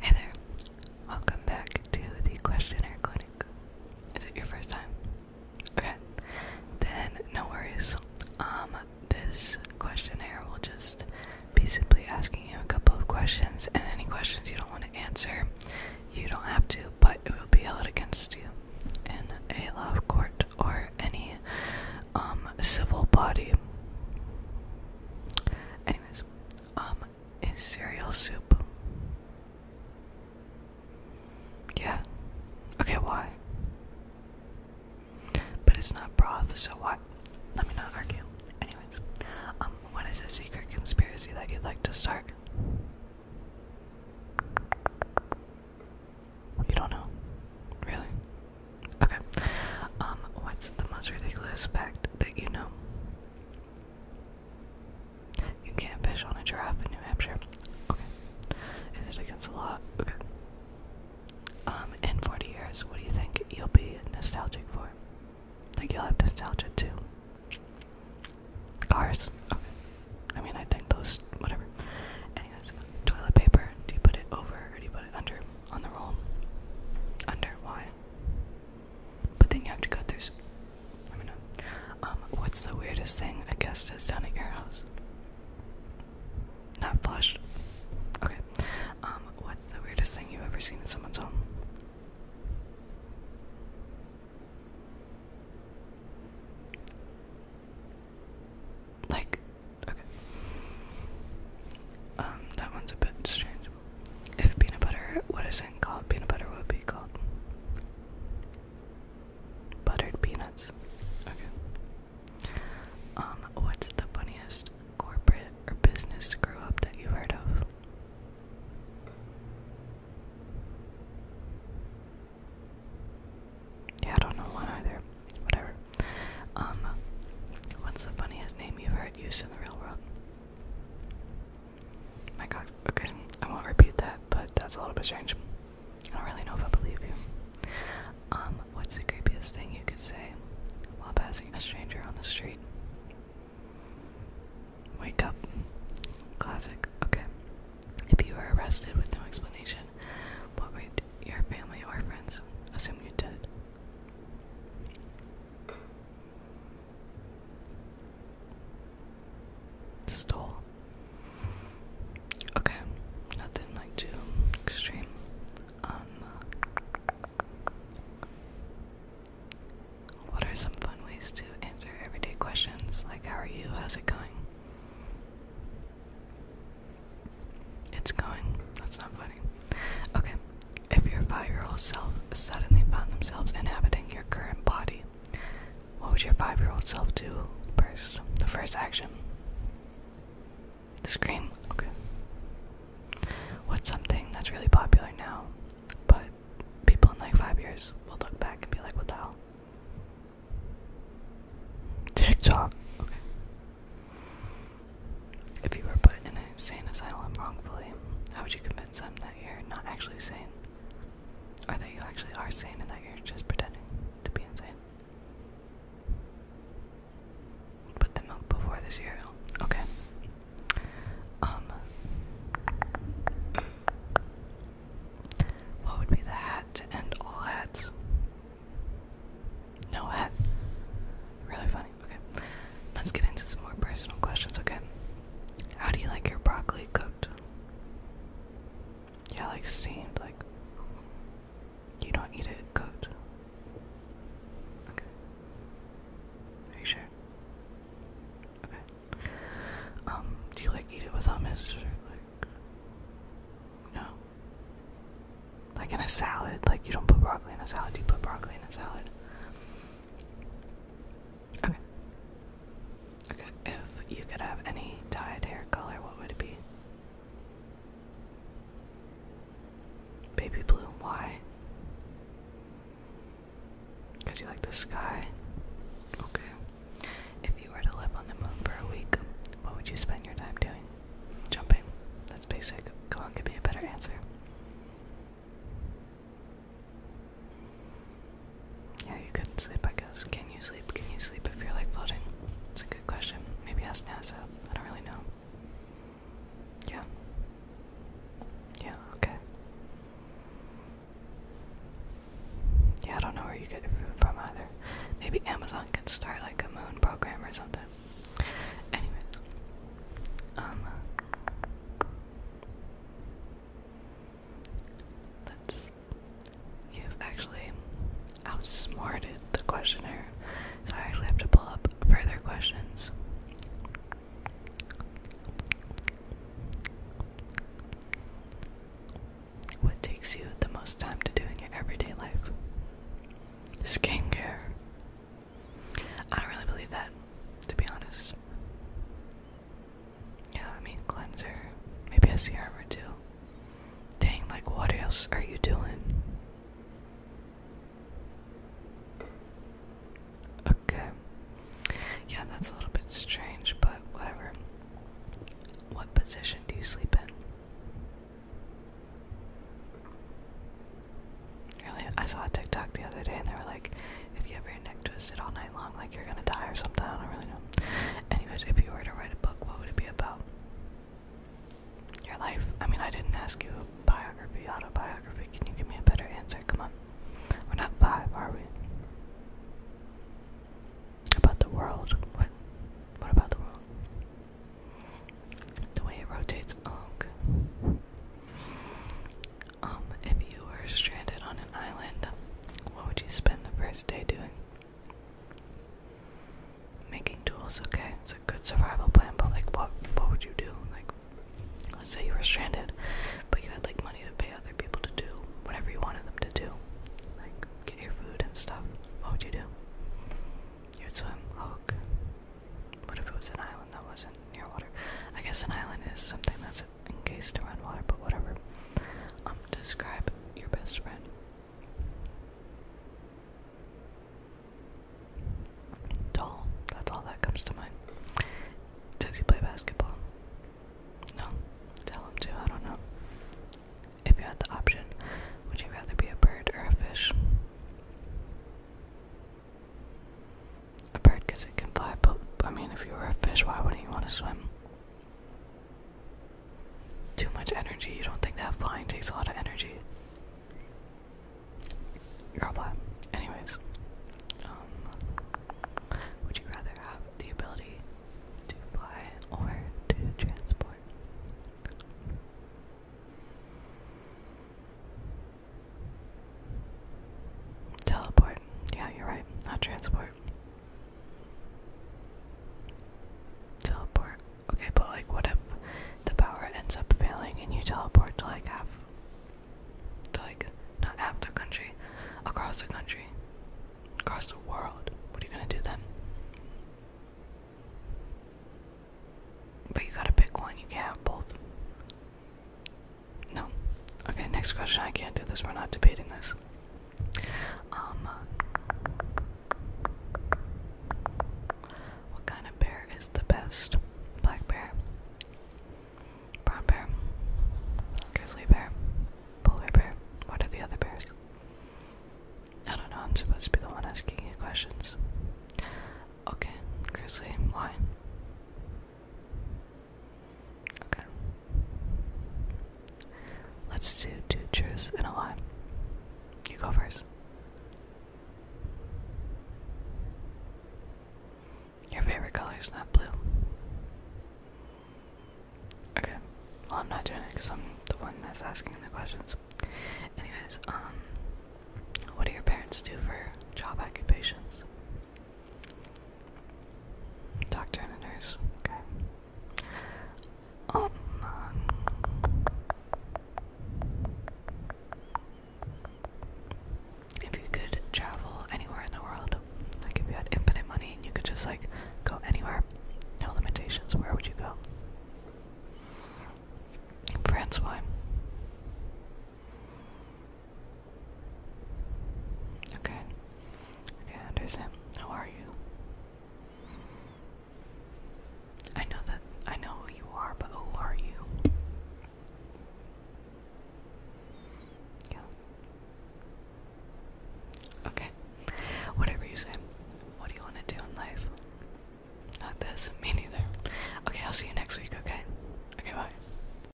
Hey there, welcome back to the questionnaire clinic. Is it your first time? Okay, then no worries. Um, this questionnaire will just be simply asking you a couple of questions, and any questions you don't want to answer, you don't have to, but it will be held against you in a law court or any um civil body. Anyways, um, is cereal soup. Yeah. Okay, why? But it's not broth, so why? Let me not argue. Anyways, um, what is a secret conspiracy that you'd like to start? You don't know? Really? Okay. Um, what's the most ridiculous fact that you know? You can't fish on a giraffe in New Hampshire. Okay. Is it against the law? Okay. Um, in 40 years, what do you think you'll be nostalgic for? Think you'll have nostalgia too. Cars. Okay. I mean, I think those, whatever. Anyways, toilet paper. Do you put it over or do you put it under on the roll? Under. Why? But then you have to go through. Let me know. Um, what's the weirdest thing a guest has done at your house? Not flushed. Okay. Um, what's the weirdest thing you've ever seen in someone's home? Like, okay. Um, that one's a bit strange. If peanut butter what isn't called peanut butter would be called buttered peanuts. Okay. Um, what's the funniest corporate or business screw up that you've heard of? Yeah, I don't know one either. Whatever. Um, what's the funniest name you've heard used in the real world? Oh my God. Okay, I won't repeat that, but that's a little bit strange. I don't really know if I believe you. Um, what's the creepiest thing you could say while passing a stranger on the street? Wake up. Classic. Okay. If you were arrested with no explanation, what would your family or friends assume you did? Stole. Okay, nothing like too extreme. Um, what are some fun ways to answer everyday questions? Like, how are you? How's it going? It's going. That's not funny. Okay, if your five year old self suddenly found themselves inhabiting your current body, what would your five year old self do first? The first action? The scream? Okay. What's something that's really popular now, but people in like five years will look back and be like, what the hell? TikTok. Okay. If you were put in an insane asylum wrongfully, how would you convince in that you're not actually sane, or that you actually are sane and that you're just pretending to be insane. Put the milk before the cereal. Okay. Um. What would be the hat to end all hats? No hat. Really funny. Okay. Let's get into some more personal questions, okay? How do you like your broccoli cooked? Yeah, like steamed, like you don't eat it cooked. Okay. Are you sure? Okay. Um, do you like eat it with hummus like no? Like in a salad, like you don't put broccoli in a salad, you put broccoli in a salad. Okay. Okay, if you could have any dyed hair color, what would it be? Baby blue, why? Because you like the sky? Okay. If you were to live on the moon for a week, what would you spend your time doing? Jumping. That's basic. Go on, Could be a better answer. Yeah, you couldn't sleep, I guess. Can you sleep? Can you sleep if you're like floating? It's a good question. Maybe ask NASA. I don't really know. Yeah. Yeah, okay. Yeah, I don't know where you get food from either. Maybe Amazon can start like a moon program or something. Anyways. Um you've actually outsmarted the questionnaire. So I actually have to pull up further questions. What takes you the most time to do in your everyday life? Skincare. I don't really believe that, to be honest. Yeah, I mean, cleanser. Maybe a serum or two. Dang, like, what else are you doing? Okay. Yeah, that's a little bit strange, but whatever. What position do you sleep in? Really, I saw a TikTok the other day, and they were like, "If you have your neck twisted all night long, like you're gonna die or something." I don't really know. Anyways, if you were to write a book, what would it be about? Your life. I mean, I didn't ask you a biography, autobiography. Can you give me a better answer? Come on. We're not five, are we? About the world. What? What about the world? The way it rotates. Oh, okay. Um, if you were stranded on an island, what would you spend the first day doing? Making tools, okay. It's a good survival plan, but like what what would you do? Like let's say you were stranded, but you had like money to pay other people to do whatever you wanted them to do. Like get your food and stuff. What would you do? You'd swim, look. Oh, okay. What if it was an island that wasn't near water? I guess an island is something that's in is encased around water, but whatever. Um, describe your best friend. Tall. That's all that comes to mind. Does he play basketball? No. Tell him to. I don't know. If you had the option, would you rather be a bird or a fish? A bird it can fly, but I mean, if you were a fish, why wouldn't you want to swim? Too much energy. You don't think that flying takes a lot of energy? Girl, blah. Anyways, um, would you rather have the ability to fly or to transport? Teleport. Yeah, you're right. Not transport. Teleport. Okay, but like, what if the power ends up failing and you teleport to like half, to like not half the country, across the country, across the world? What are you gonna do then? But you gotta pick one. You can't have both. No. Okay, next question. I can't do this. We're not debating this. Um. Uh, what kind of bear is the best? Black bear, brown bear, grizzly bear, polar bear. What are the other bears? I don't know. I'm supposed to be the one asking you questions. Okay, grizzly. Why? Okay. Let's do two truths and a lie. You go first. Your favorite color is not blue. Okay. Well, I'm not doing it because I'm the one that's asking the questions. Anyways, um, what do your parents do for job occupations? Doctor and a nurse, okay. Oh, if you could travel anywhere in the world, like if you infinite money and you could just like go anywhere, no limitations, where would you go? France, why? Okay. Okay, Anderson, how are you? I know that I know who you are, but who are you? Yeah. Okay. Whatever you say. What do you want to do in life? Not this. Me neither. Okay, I'll see you next week, okay? Okay, bye.